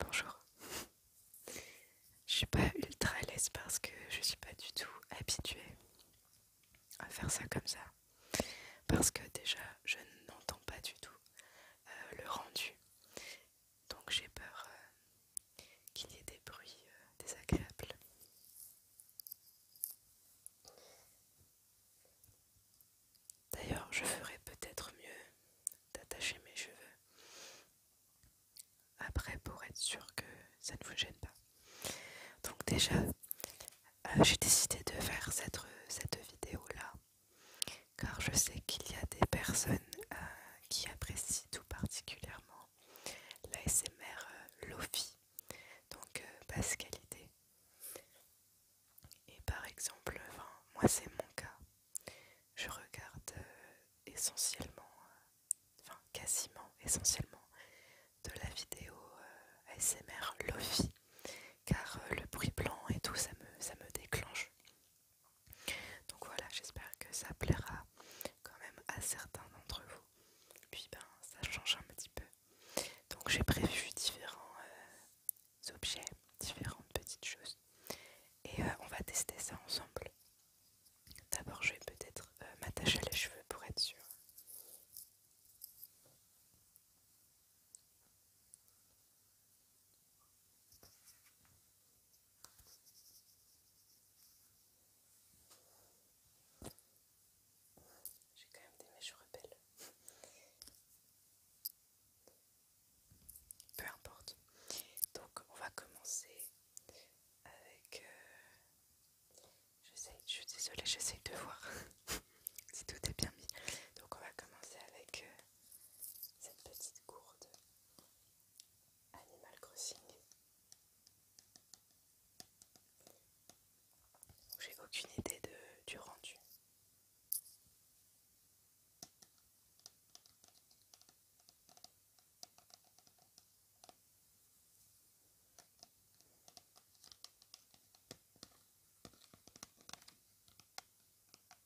Bonjour. Je suis pas ultra à l'aise parce que je suis pas du tout habituée à faire ça comme ça. Parce que déjà, je n'entends pas du tout euh, le rendu donc j'ai peur euh, qu'il y ait des bruits euh, désagréables. D'ailleurs, je ferai peut-être mieux d'attacher mes cheveux après pour être sûr que ça ne vous gêne pas. Donc déjà, euh, j'ai décidé de faire cette vidéo-là car je sais qu'il y a des personnes euh, qui apprécient tout particulièrement la SMR euh, Lofi, donc basse euh, qualité. Et par exemple, moi c'est mon cas, je regarde essentiellement, enfin quasiment essentiellement, de la vidéo ASMR Lofi, car le bruit blanc et tout ça me déclenche. Donc voilà, j'espère que ça plaira quand même à certains d'entre vous. Puis ben ça change un petit peu. Donc j'ai prévu différents euh, objets, différentes petites choses. Et euh, on va tester ça ensemble. D'abord je vais peut-être m'attacher euh, m'attacher les cheveux pour être sûre. J'ai quand même des mèches rebelles. Peu importe. Donc on va commencer avec... Euh, je suis désolée, j'essaye de voir si tout est bien mis. Donc on va commencer avec euh, cette petite gourde. Animal Crossing. J'ai aucune idée de, du rendu.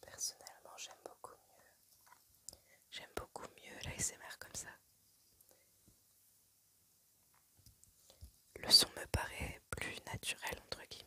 Personnellement, j'aime beaucoup mieux. J'aime beaucoup mieux l'ASMR comme ça. Le son me paraît plus naturel entre guillemets.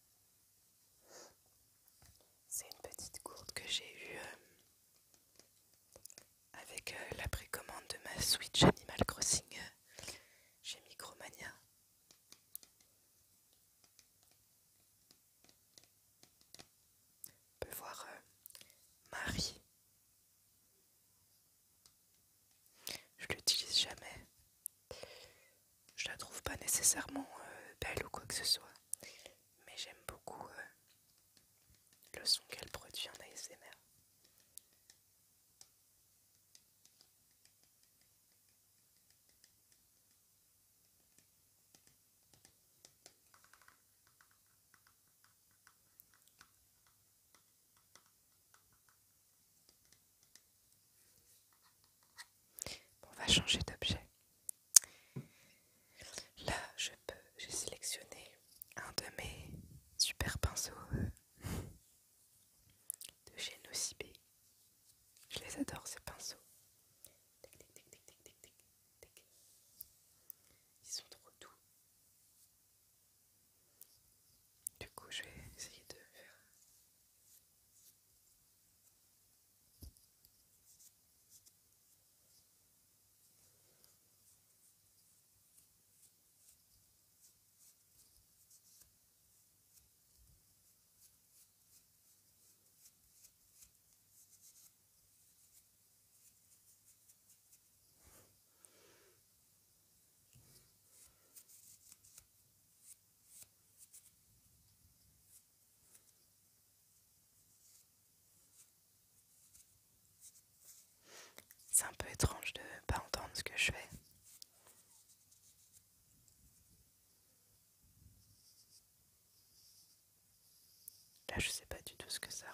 C'est une petite gourde que j'ai eue euh, avec euh, la précommande de ma Switch Animal Crossing euh, chez Micromania. On peut voir Marie je l'utilise jamais. Je la trouve pas nécessairement euh, belle ou quoi que ce soit, mais j'aime beaucoup euh, le son qu'elle produit en ASMR on va changer d'objet. Là, je peux, j'ai sélectionné un de mes super pinceaux euh, de chez Nocibé. Je les adore ces pinceaux. Ils sont trop doux. Du coup, je vais essayer de faire. C'est un peu étrange de ne pas entendre ce que je fais. Là, je sais pas du tout ce que ça rend.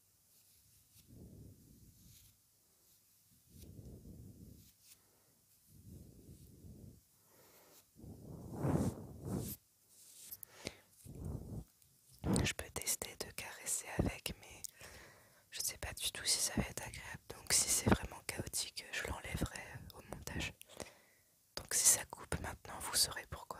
Je peux tester de caresser avec, mais je ne sais pas du tout si ça va être agréable. Donc si c'est vraiment chaotique, je l'enlèverai euh, au montage. Donc si ça coupe maintenant, vous saurez pourquoi.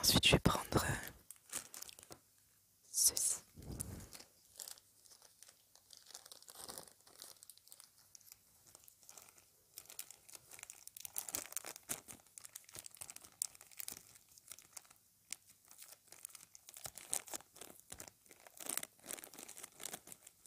Ensuite, je vais prendre euh, ceci.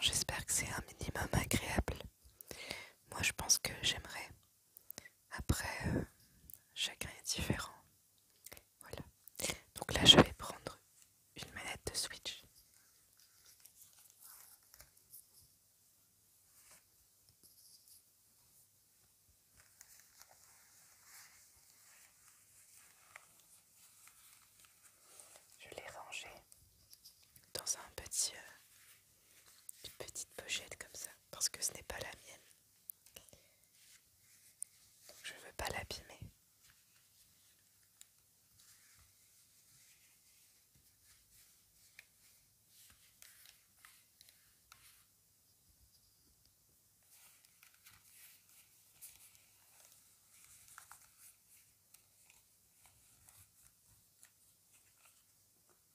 j'espère que c'est un minimum agréable. Moi, je pense que j'aimerais après, euh, chacun est différent. Voilà. Donc là, je vais prendre une manette de Switch. Je l'ai rangée dans un petit, euh, une petite pochette comme ça parce que ce n'est pas la mienne. je ne veux pas l'abîmer.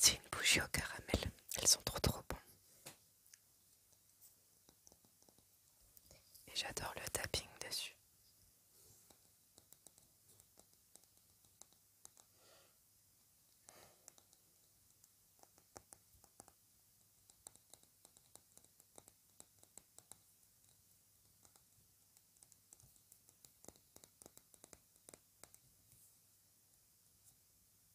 C'est une bougie au caramel, elles sont trop trop bonnes. Et j'adore le tapping dessus.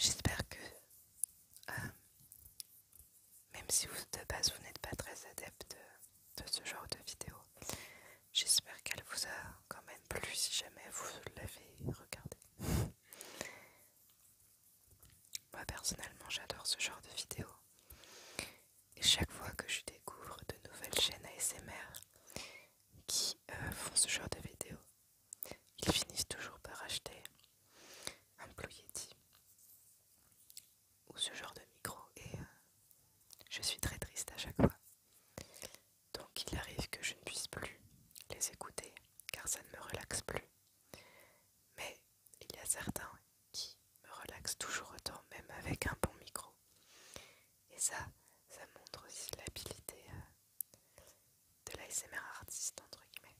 J'espère que, euh, même si vous, de base vous n'êtes pas très adepte de, de ce genre de vidéo, J'espère qu'elle vous a quand même plu si jamais vous l'avez regardé. Moi personnellement j'adore ce genre de vidéos. Et chaque fois que je découvre de nouvelles chaînes ASMR qui euh, font ce genre de vidéos, ils finissent toujours par acheter un Blue Yeti ou ce genre de micro et euh, je suis très triste à chaque fois donc il arrive que je ne puisse plus les écouter car ça ne me relaxe plus. Mais il y a certains qui me relaxent toujours autant, même avec un bon micro. Et ça, ça montre aussi l'habilité euh, de l'ASMR artiste, entre guillemets.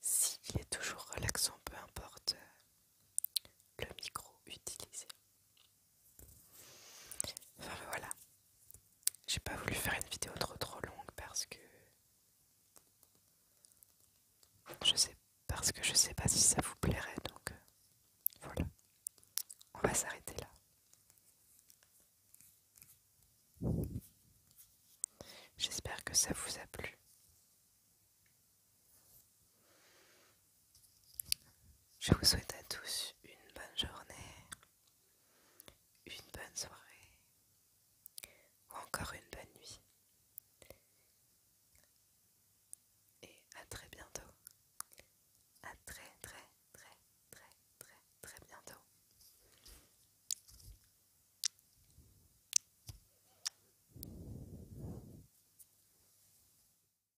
S'il est toujours relaxant, peu importe euh, le micro utilisé. Enfin voilà. J'ai pas voulu faire une vidéo trop trop longue parce que je sais parce que je sais pas si ça vous plairait donc euh, voilà. On va s'arrêter là. J'espère que ça vous a plu. Je vous souhaite à tous une bonne journée, une bonne soirée ou encore une bonne nuit. Et à très bientôt. À très très très très très très bientôt.